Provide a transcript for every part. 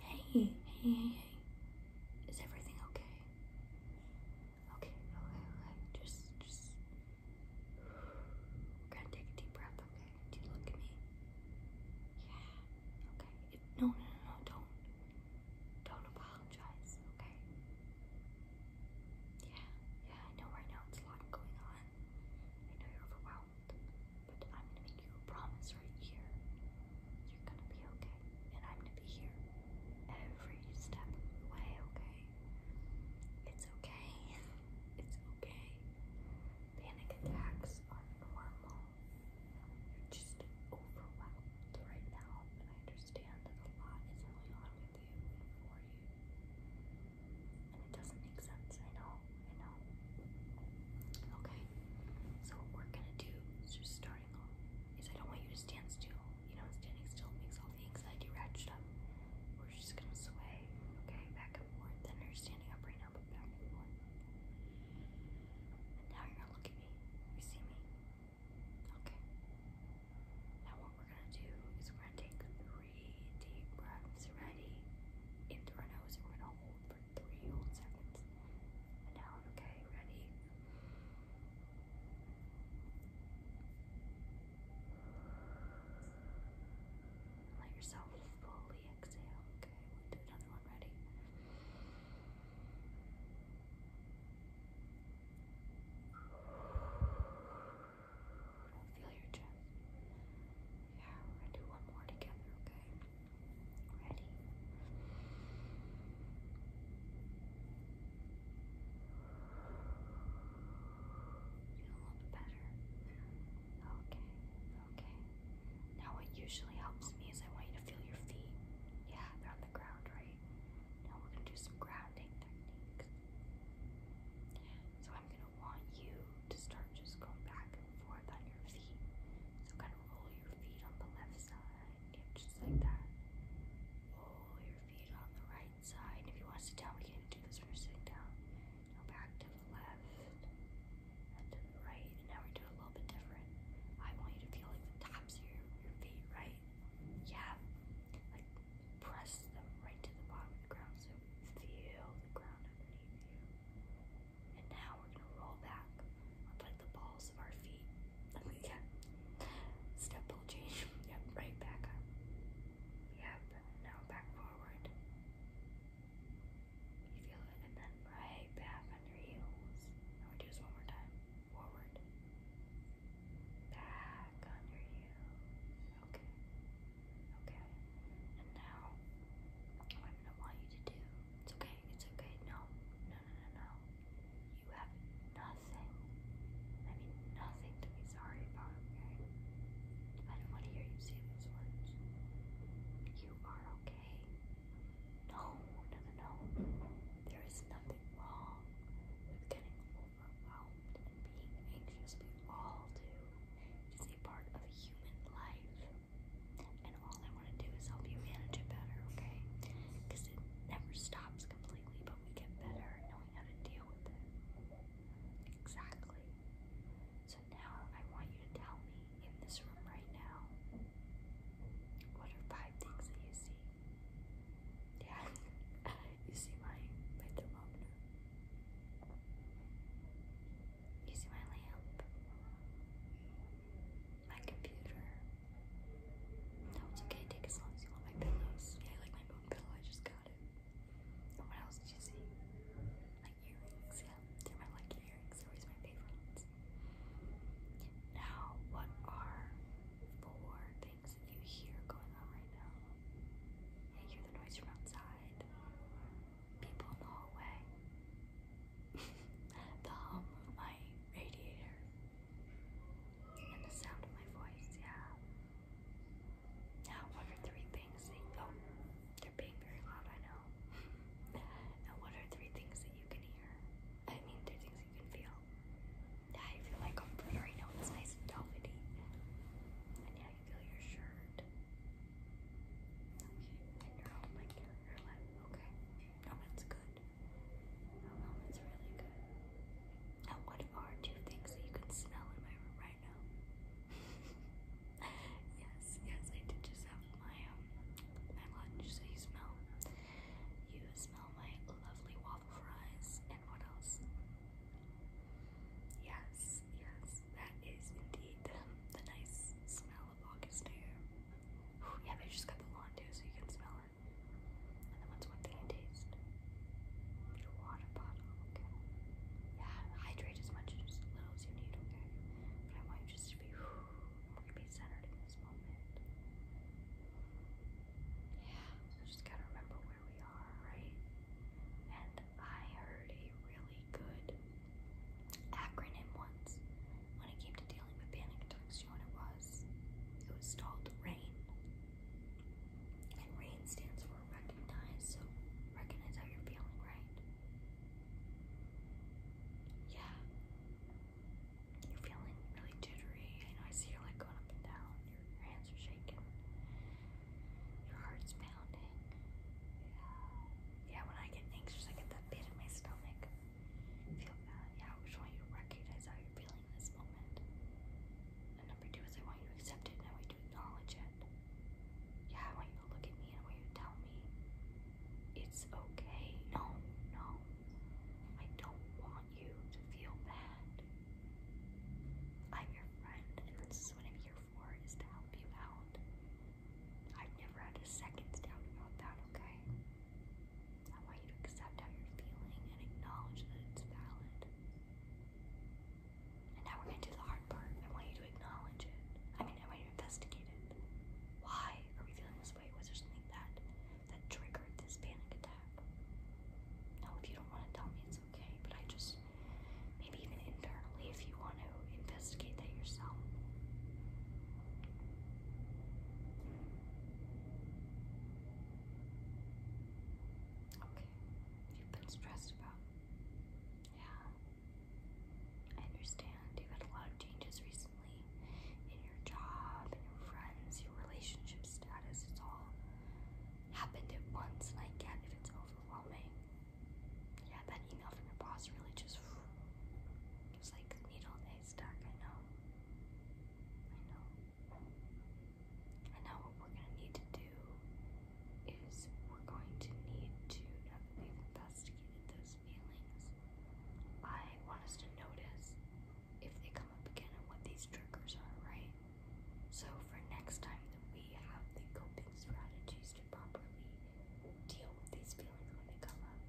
Hey, hey, hey, Is everything okay? Okay, okay, okay. Just, just. We're gonna take a deep breath, okay? Do you look at me? Yeah. Okay. no, no, no. Don't, don't apologize, okay? Yeah, yeah. I know right now it's a lot going on. I know you're overwhelmed. But I'm gonna make you a promise right here. You're gonna be okay. And I'm gonna be here every step of the way, okay? It's okay. It's okay. Panic attacks are normal. You're just overwhelmed right now. And I understand that a lot is going on with you and you. And it doesn't make sense, I know and home. Okay, so what we're gonna do is just starting off is I don't want you to stand still. You know, standing still makes all the anxiety ratchet up. We're just gonna sway, okay, back and forth. Then you're standing up right now, but back and forth. And now you're gonna look at me. You see me? Okay. Now what we're gonna do is we're gonna take three deep breaths. Ready? In through our nose, and we're gonna hold for three whole seconds. And now, okay, ready? Let yourself fully exhale. Okay, do another one. Ready? Feel your chest. Yeah, we're gonna do one more together, okay? Ready? Feel a little bit better. Okay, okay. Now what usually helps me is I want you to feel your feet. Yeah, they're on the ground, right? Now we're gonna do some grounding techniques. So I'm gonna I want you to start just going back and forth on your feet. So kind of roll your feet on the left side, yeah, just like that. Roll your feet on the right side. If you want to sit down, we can do this when you're sitting down. Now back to the left and to the right. And now we do it a little bit different. I want you to feel like the tops of your, your feet, right? Yeah. Like press them right to the bottom of the ground. So feel the ground underneath you. And now we're gonna roll back with like the balls of our feet. yeah. Step will change. Yep, right back up. Yep, now back forward. You feel it, and then right back on your heels. Now we do this one more time. Forward. Back on your heels. Okay. Okay. And now I'm gonna want you to do. It's okay, it's okay. No, no, no, no, no. You have nothing. I mean nothing to be sorry about, okay? I don't want to hear you say those words. You are okay. No, no, no, no. There is nothing wrong with getting overwhelmed and being anxious. We all do is a part of human life. And all I want to do is help you manage it better, okay? Because it never stops completely, but we get better at knowing how to deal with it. Exactly. So now I want you to tell me in this room right now what are five things that you see? Yeah, you see my, my thermometer using my lamp, my computer. No, it's okay. Take as long as you want. My pillows. Yeah, I like my bone pillow. I just got it. And what else did you see? My earrings. Yeah, they're my lucky earrings. They're always my favorite Now, what are four things that you hear going on right now? I hear the noise from outside people know away. the hum of my radiator and the sound of my voice, yeah. Now, what are three things oh, they're being very loud, I know. now, what are three things that you can hear? I mean, three things you can feel. Yeah, I feel my comforter. I know nice and velvety. And yeah, you feel your shirt. Okay, and your whole like your, your life. Okay. No, that's good. No, no, really good. Now what are two things that you can smell in my room right now? yes, yes, I did just have my um, my lunch, so you smell you smell my lovely waffle fries and what else? Yes, yes, that is indeed the, nice smell of August air. Whew, yeah, they just got the lawn too, so you can smell it. And then what's one thing I taste? Your water bottle, okay. Yeah, hydrate as much little as you need, okay? But I want you just to be, whew, to be centered in this moment. Yeah, just gotta remember where we are, right? and I heard a really good acronym once when it came to dealing with panic attacks. You know what it was? It was called RAIN. And RAIN stands for recognize, so recognize how you're feeling, right? Yeah. You're feeling really jittery. I know I see you're like going up and down. Your, hands are shaking. Your heart's pounding. Yeah. Yeah, when I get anxious, I get that pit in my stomach. Feel that. Yeah, I just want you to recognize how you're feeling in this moment. And number two is I want you to accept it I want you to acknowledge it. Yeah, I want you to look at me and I want you to tell me it's okay. No, no. I don't want you to feel bad. I'm your friend, and this is what I'm is to help you out. I've never had a second's doubt about that, okay? I want you to accept how you're feeling and acknowledge that it's valid. And now we're going to do the hard part. I want you to acknowledge it. I mean, I want you to investigate it. Why are we feeling this way? Was there something that that triggered this panic attack? No, if you don't want to tell me, it's okay, but I just maybe even internally if you want to investigate that yourself. Okay, you've been stressed about. Yeah, I understand. you had a lot of changes recently in your job, in your friends, your relationship status. It's all happened at once, and I get if it's overwhelming. Yeah, that email from your boss really just gives like a needle in a haystack, I know. I know. And now what we're gonna need to do is we're going to need to, now that we've investigated those feelings, I want us to notice if they come up again and what these triggers are, right? So for next time that we have the coping strategies to properly deal with these feelings when they come up.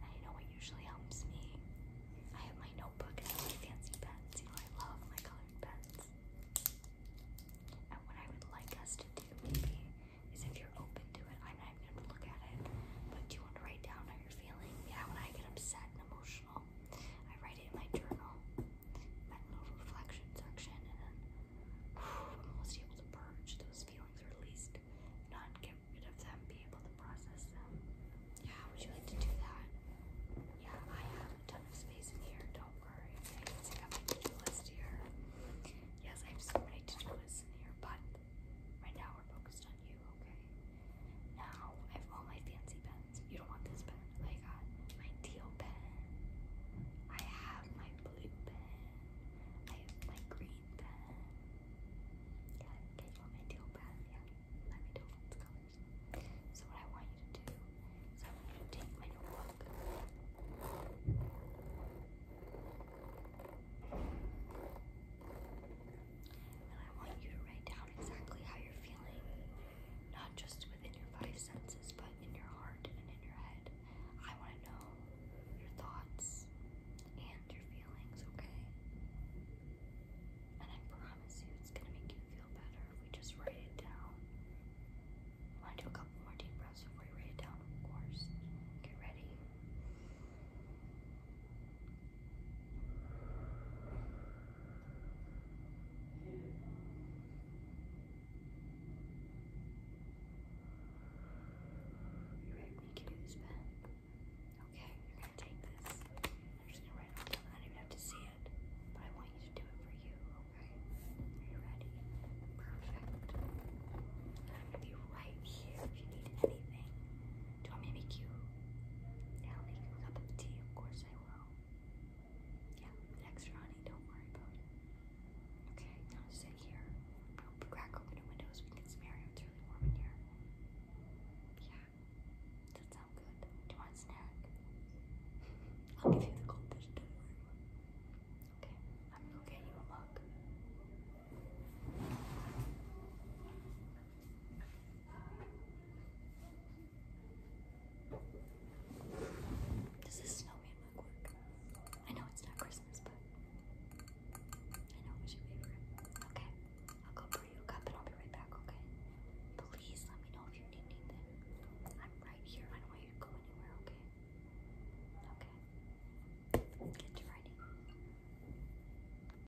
I know what usually helps me? I have my notebook and my fancy pens. You know I love my colored pens. And what I would like us to do maybe is if you're open to it, I'm not gonna look at it, but do you want to write down how you're feeling? Yeah, when I get upset and emotional I write it in my journal, that little reflection section, and then I'm almost able to purge those feelings, or not get rid of them, be able to process them. Yeah, would you like to do that? Yeah, I have a ton of space in here. Don't worry. I got my to-do list here. Yes, I have so many to-do lists in here, but right now we're focused on you, okay? Now I have all my fancy pens. You don't want this pen. I got my teal pen. I have my blue pen. I have my green pen. Yeah, okay, you want my teal pen? Yeah, let me do its colors. So what I want you to do is I want you to take my notebook. And I want you to write down exactly how you're feeling, not just within your five senses, but in your heart and in your head. I want to know your thoughts and your feelings, okay? And I promise you it's going to make you feel better if we just write it down. I want to do a couple more deep breaths before you write it down, of course. Get ready. You ready for me to this pen? Okay, you're gonna take this. I'm just gonna write I don't even have to see it, but I want you to do it for you, okay? Are you ready? Perfect. I'm gonna be right here if you need anything. Do you make you now make him a cup of tea, of course I will. Yeah, next Ronnie, don't worry about it. Okay, now sit here. crack open the windows, we can smear it. It's really warm in here. Yeah, that sounds good. Do you want a snack? I'll give you the cold don't worry about it. Okay, I'm gonna go get you a mug. Does this snowman mug work? I know it's not Christmas, but I know it was your favorite. Okay, I'll go pour you a cup and I'll be right back, okay? Please let me know if you need anything. I'm right here. I don't want you to go anywhere, okay? Okay. Get to writing.